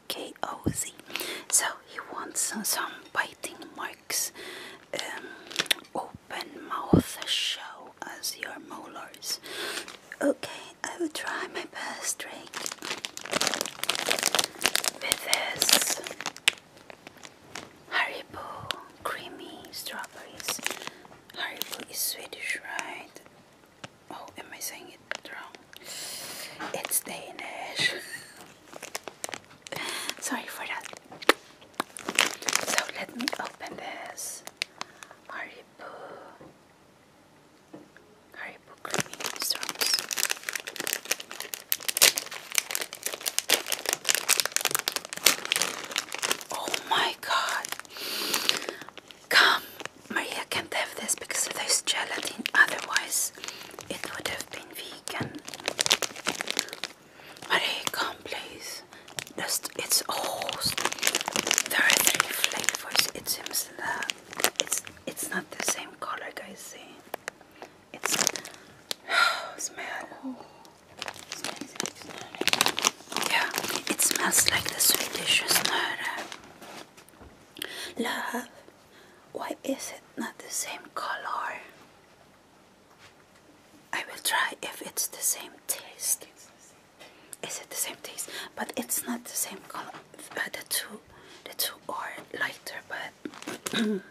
E-K-O-Z. So he wants some biting marks, um, open mouth show as your molars. Okay, I will try my best Drink with this Haribo creamy strawberries. Haribo is Swedish, right? Oh, am I saying it wrong? It's Danish. Sorry for that. So let me open this Haribo, Haribo creamy storms. Oh my god! Come, Maria can't have this because there's gelatin. Otherwise, else it would have been vegan. Marie, come please. Just, it's almost there are three flavors. It seems that it's it's not the same color, guys. See, it's oh, smell. Oh. Yeah, it smells like the Swedish snöre. Love. Why is it not the same color? I will try if it's the same taste. Is it the same taste? But it's not the same color. Uh, the two, the two are lighter, but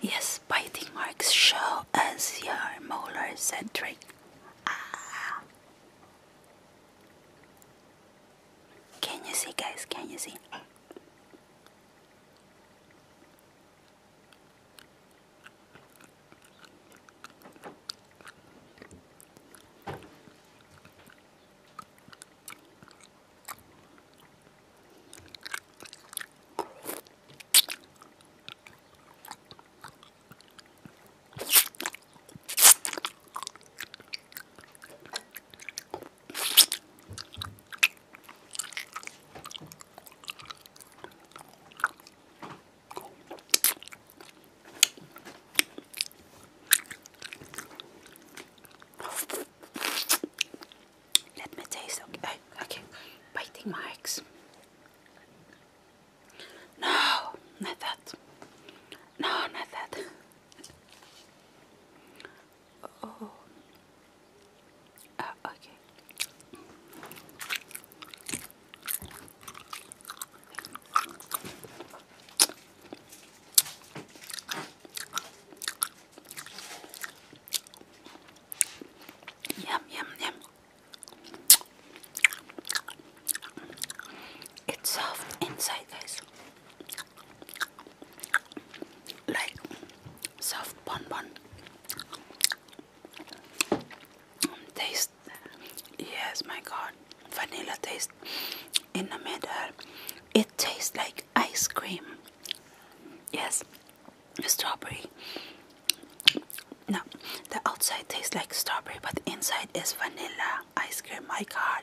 yes, biting marks show as your molar centric. Ah. Can you see, guys? Can you see? Let me taste. Okay, okay. biting marks. No, not that. No, not that. Oh. Uh, okay. Yum, yum, yum. It's soft inside, guys like soft bonbon taste. Yes, my God, vanilla taste in the middle. It tastes like ice cream. Yes, strawberry. No, the outside tastes like strawberry, but inside is vanilla ice cream. My God.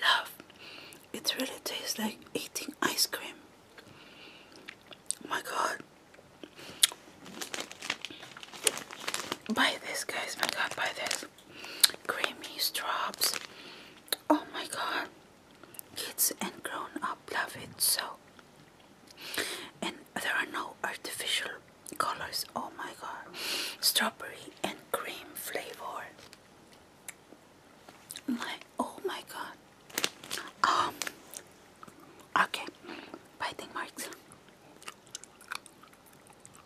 Love, it really tastes like eating ice cream. my god. Buy this guys, my god, buy this creamy straws. Oh my god, kids and grown up love it so. And there are no artificial colors. Oh my god, strawberry and cream flavor. My oh my god. Um. Okay, biting marks.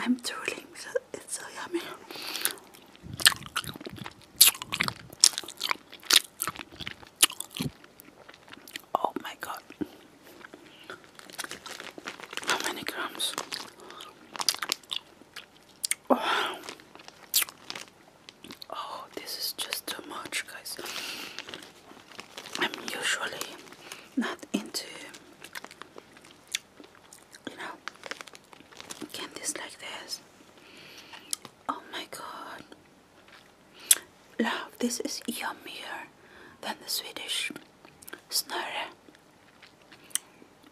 I'm drooling it's so yummy. Oh my god. How many grams? Oh. Oh, this is just too much, guys. I'm usually not into, you know, candies like this. Oh my god. Love, this is yummier than the Swedish snurre.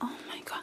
Oh my god.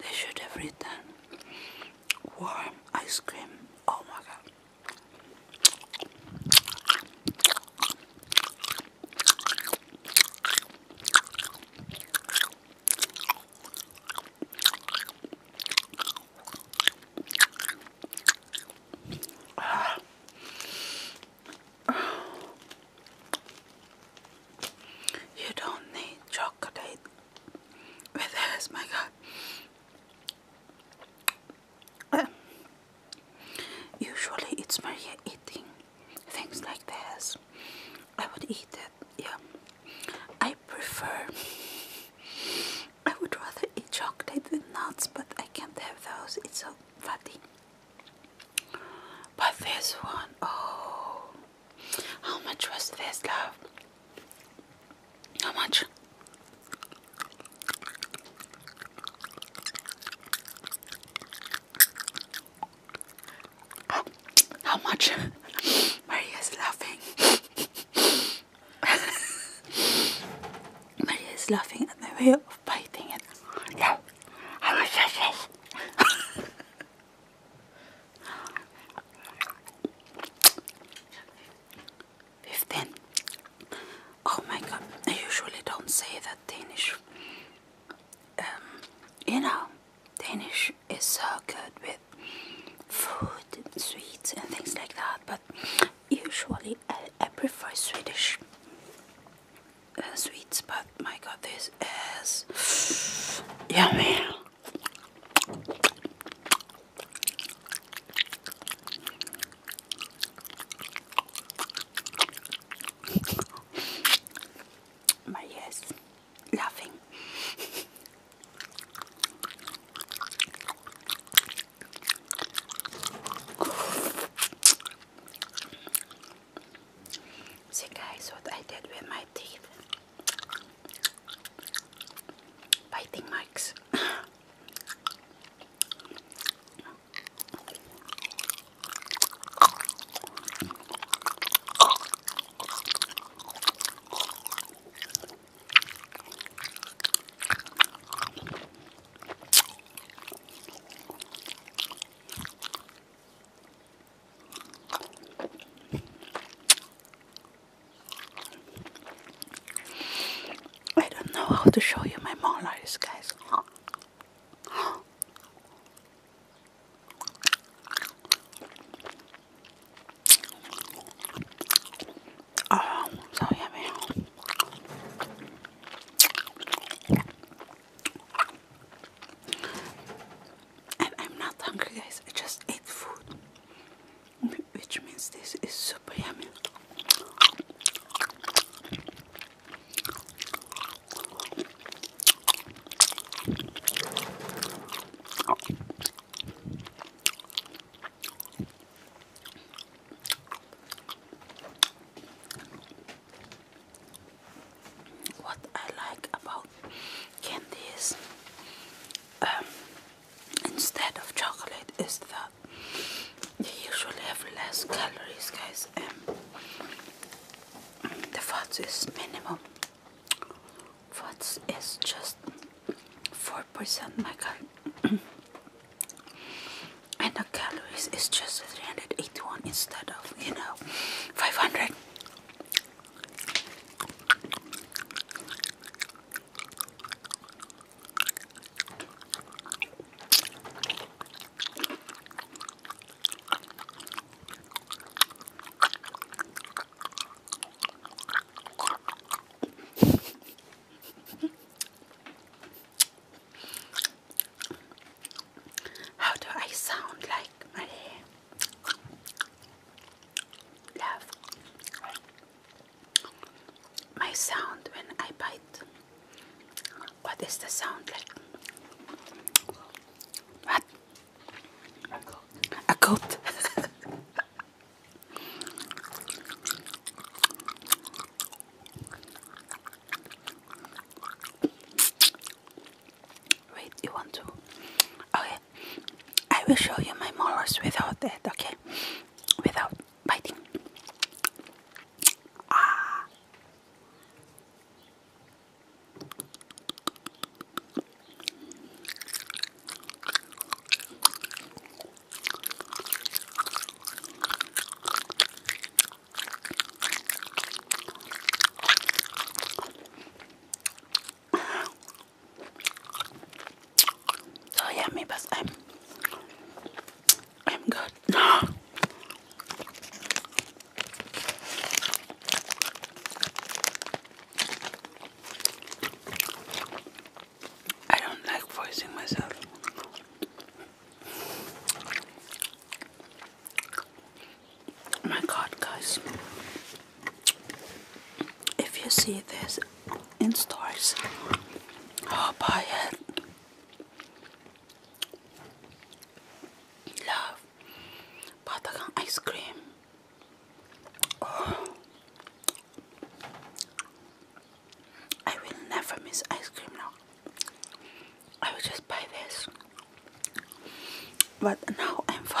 They should have written warm ice cream. Oh my god. You don't need chocolate with this, my God. Usually it's Maria eating things like this. I would eat it, yeah. I prefer I would rather eat chocolate with nuts, but I can't have those. It's so fatty. But this one, oh, how much was this, love? How much? How much? Maria's laughing. Maria is laughing at my way of biting it. No, I was just this. Fifteen. Oh my god, I usually don't say that Danish. Um, you know, Danish is so good with food, sweets, and things like that, but usually I, prefer Swedish uh, sweets, but my god, this is yummy. My yes, laughing. See guys what I did with my teeth. Biting marks. I don't know how to show you my molars, guys. Oh, so yummy i I'm not hungry, guys. I just ate food, which means this is super yummy. What I like about candies um, instead of chocolate is that they usually have less calories, guys, the fats is minimum. Fats is just four percent, my God. and the calories is just 381 instead of you know 500 how do I sound like my love? My sound when I bite. What is the sound like? What? A goat. Wait, you want to? Okay, I will show you my molars without that, okay? Without biting. Ah. So yummy, but I'm I'm good. I don't like voicing myself. Oh my god, guys. If you see this in stores, oh, buy it. Love Patagon ice cream. Oh. I will never miss ice cream now. I will just buy this. But now I'm full.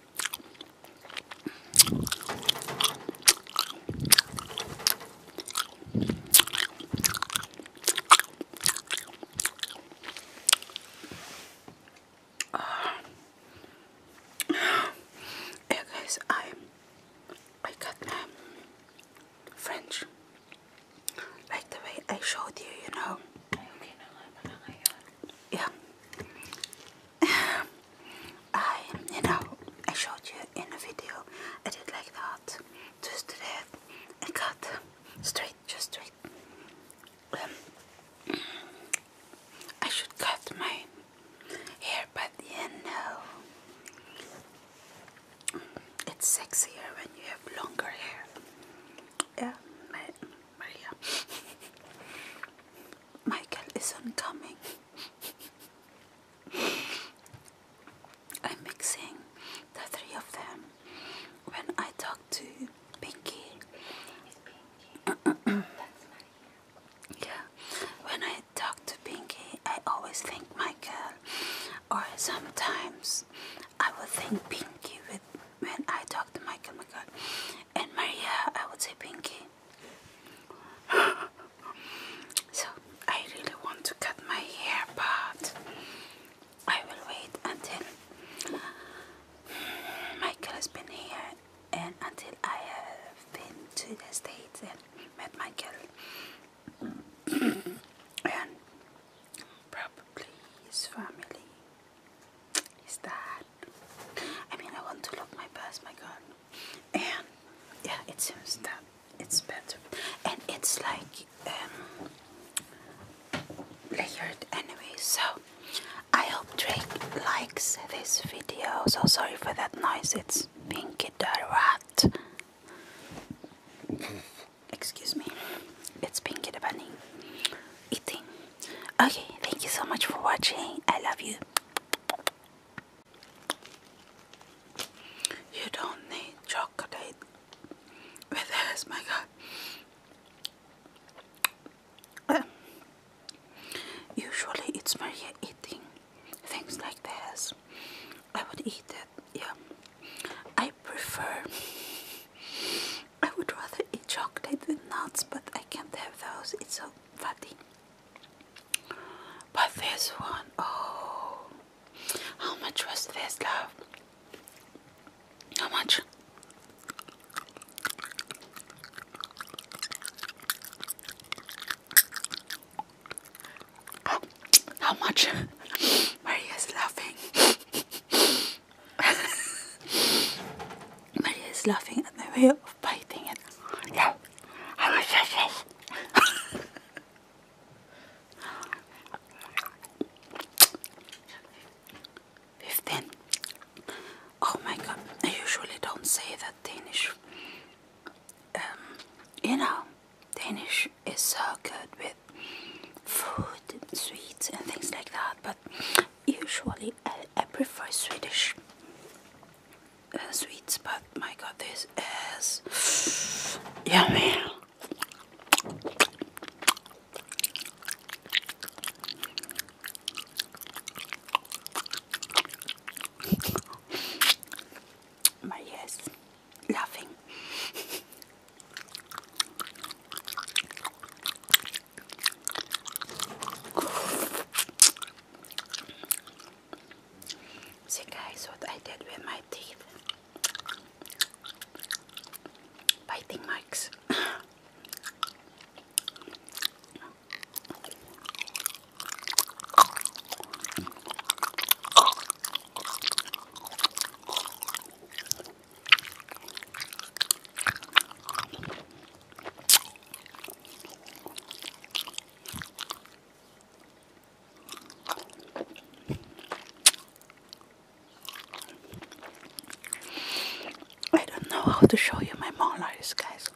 Uh, I I got um, French like the way I showed you, you know. Yeah. I, you know, I showed you in the video, I did like that, just did it, I cut straight, just straight. Um, I should cut my hair, but you know, it's sexier when you have longer hair. Yeah, Maria. Michael isn't coming. I'm mixing the three of them when I talk to Pinky. yeah, when I talk to Pinky, I always think Michael, or sometimes I would think Pinky with when I talk to Michael. Michael and Maria, I would say Pinky so I really want to cut my hair, but I will wait until Michael has been here and until I have been to the States and met Michael and probably his family, his dad. I mean, I want to love my past, my God. And yeah, it seems that it's better. And it's like um, layered anyway. So I hope Drake likes this video. So sorry for that noise. It's Pinky the Rat. Excuse me. It's Pinky the Bunny eating. Okay, thank you so much for watching. I love you. You don't need chocolate with this, my god. Usually it's Maria eating things like this. I would eat it, yeah. I prefer, I would rather eat chocolate with nuts, but I can't have those, it's so fatty. But this one, oh, how much was this, love? How much? Oh, how, much? Maria is laughing. Maria is laughing at my way of biting it. Yeah. How much is this? Fifteen. Oh my god! I usually don't say that Danish. Um, you know, Danish is so good with food, sweets, and things like that. But usually, I prefer Swedish uh, sweets, but my god, this is yummy. my yes, laughing. See guys what I did with my teeth. Biting marks. I don't know how to show you my molars, guys.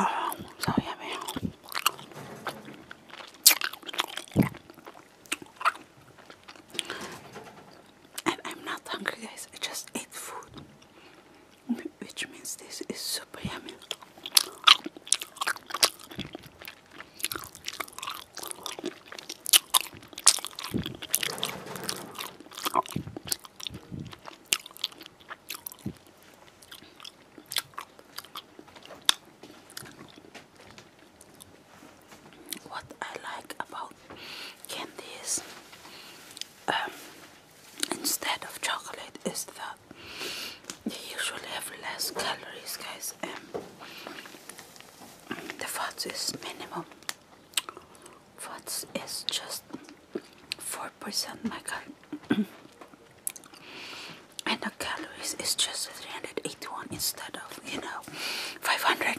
Oh, so yummy. I'm not hungry, guys. I just ate food, which means this is super yummy what I like about candies um, instead of chocolate is that they usually have less calories guys and the fats is minimum fats is just 4% my god and the calories is just 381 instead of you know 500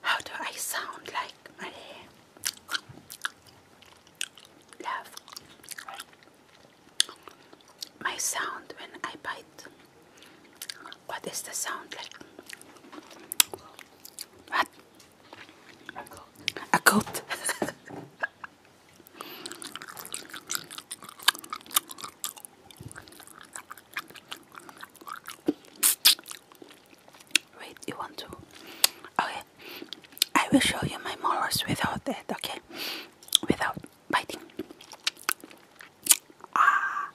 how do I sound like Marie? Love. My sound when I bite. What is the sound like? What? A goat. Wait, you want to? Okay, I will show you my molars without it. okay? Without biting. Ah.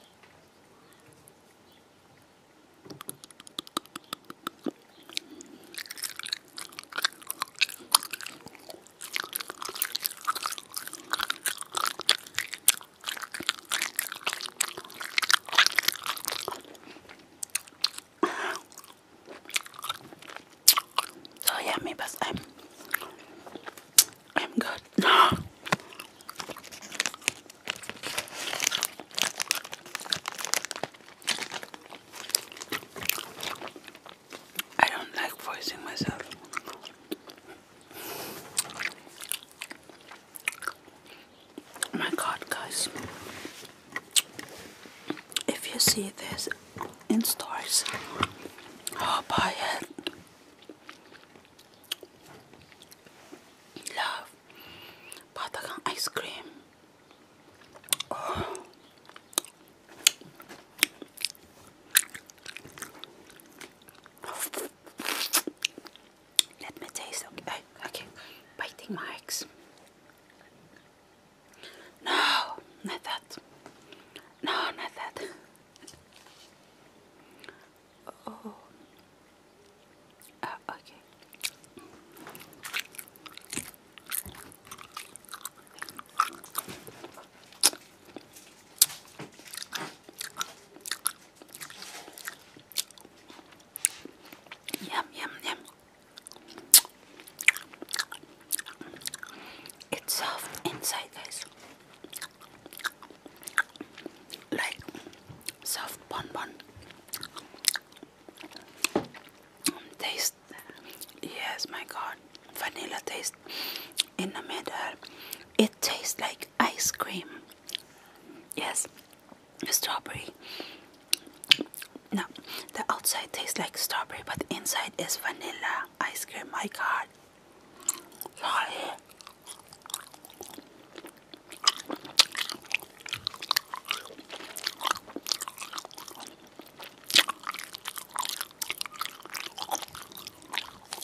So yeah, me I'm I'm good. I don't like voicing myself. Oh my god, guys. If you see this in stores, oh, buy it. Love Patagang ice cream. Oh. Let me taste. Okay, okay. Biting my No, not that. No, not that. Oh. Uh, okay. Yum, yum, yum. It's soft inside, guys. Like soft bonbon. Taste, yes, my god, vanilla taste in the middle. It tastes like ice cream. Yes, strawberry. Now the outside tastes like strawberry, but inside is vanilla ice cream. My God.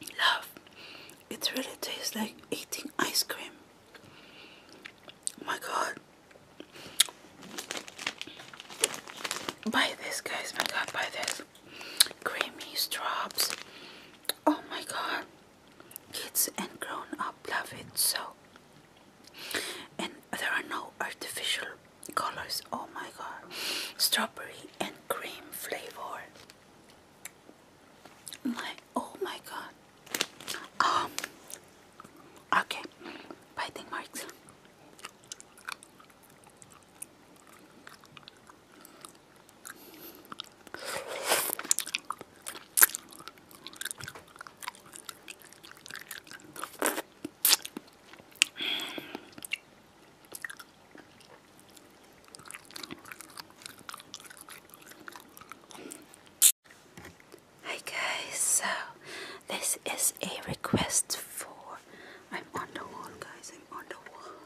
Love, it really tastes like eating ice cream. my god. Buy this, guys. My god, buy this. Creamy straws. Oh my god. Kids and grown up love it so. And there are no artificial colors. Oh my god. Strawberry and cream flavor like, oh my god. Um, okay, biting marks. Hi so this is a request for I'm on the wall guys, I'm on the wall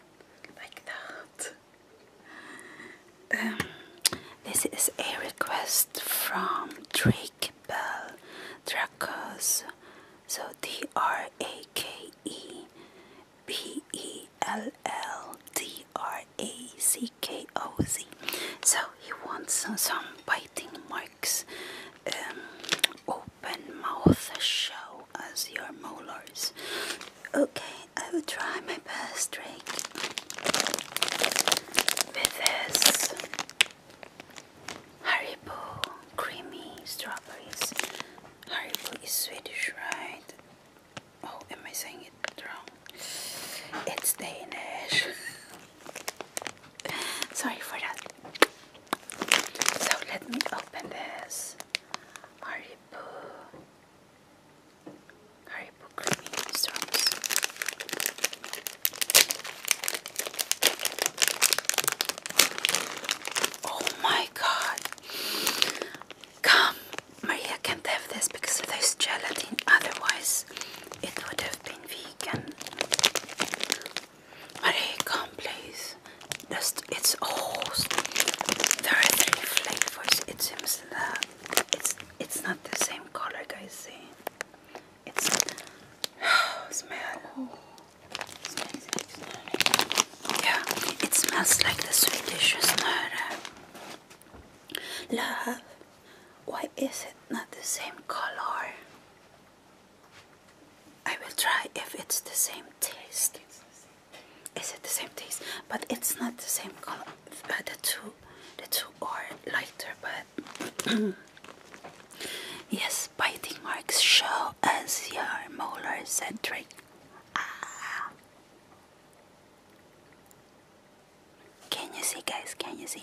like that. Um, this is a request from Drake Bell Dracos. So D R A K E P E L L D R A C K O Z. So he wants some, biting marks. Um, open mouth show as your molars. Okay, I will try my best trick with this Haribo creamy strawberries. Hartful is Swedish, right? Oh, am I saying it wrong? It's Danish. Sorry for that. So let me open this. Haribo. Haribo creamy storms. Oh my god. Come, Maria can't have this because of this gelatin, otherwise, it would have been vegan. Maria, come please. Just, it's host. There are three flavors. It seems that it's it's not the same color, guys. See, it's smell. Yeah, it smells like the sweetest murder. Love, why is it not the same color? I will try if it's the same taste. Is it the same taste? But it's not the same color. Uh, the two, the two are lighter, but yes, biting marks show as your molar centric. Ah. Can you see guys? Can you see?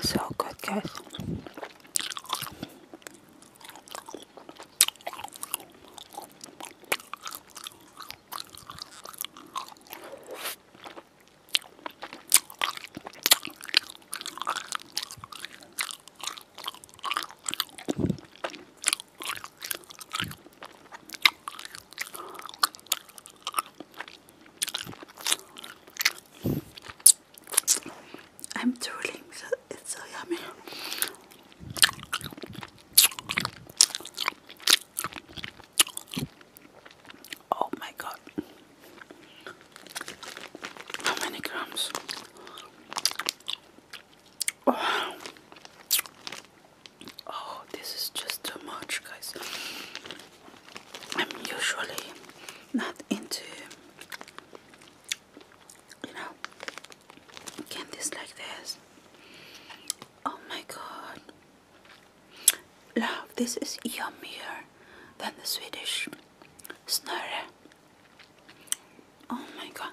So good, guys. I'm drooling because it's so yummy. Oh my god. How many grams? Oh. oh, this is just too much, guys. I'm usually not into you know candies like this. Oh my god. Love, this is yummier than the Swedish snurre. Oh my god.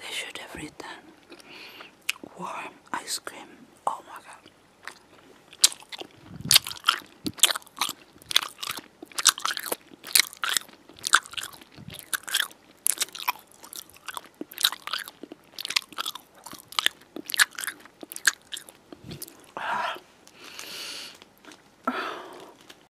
They should have written warm ice cream. Oh my god.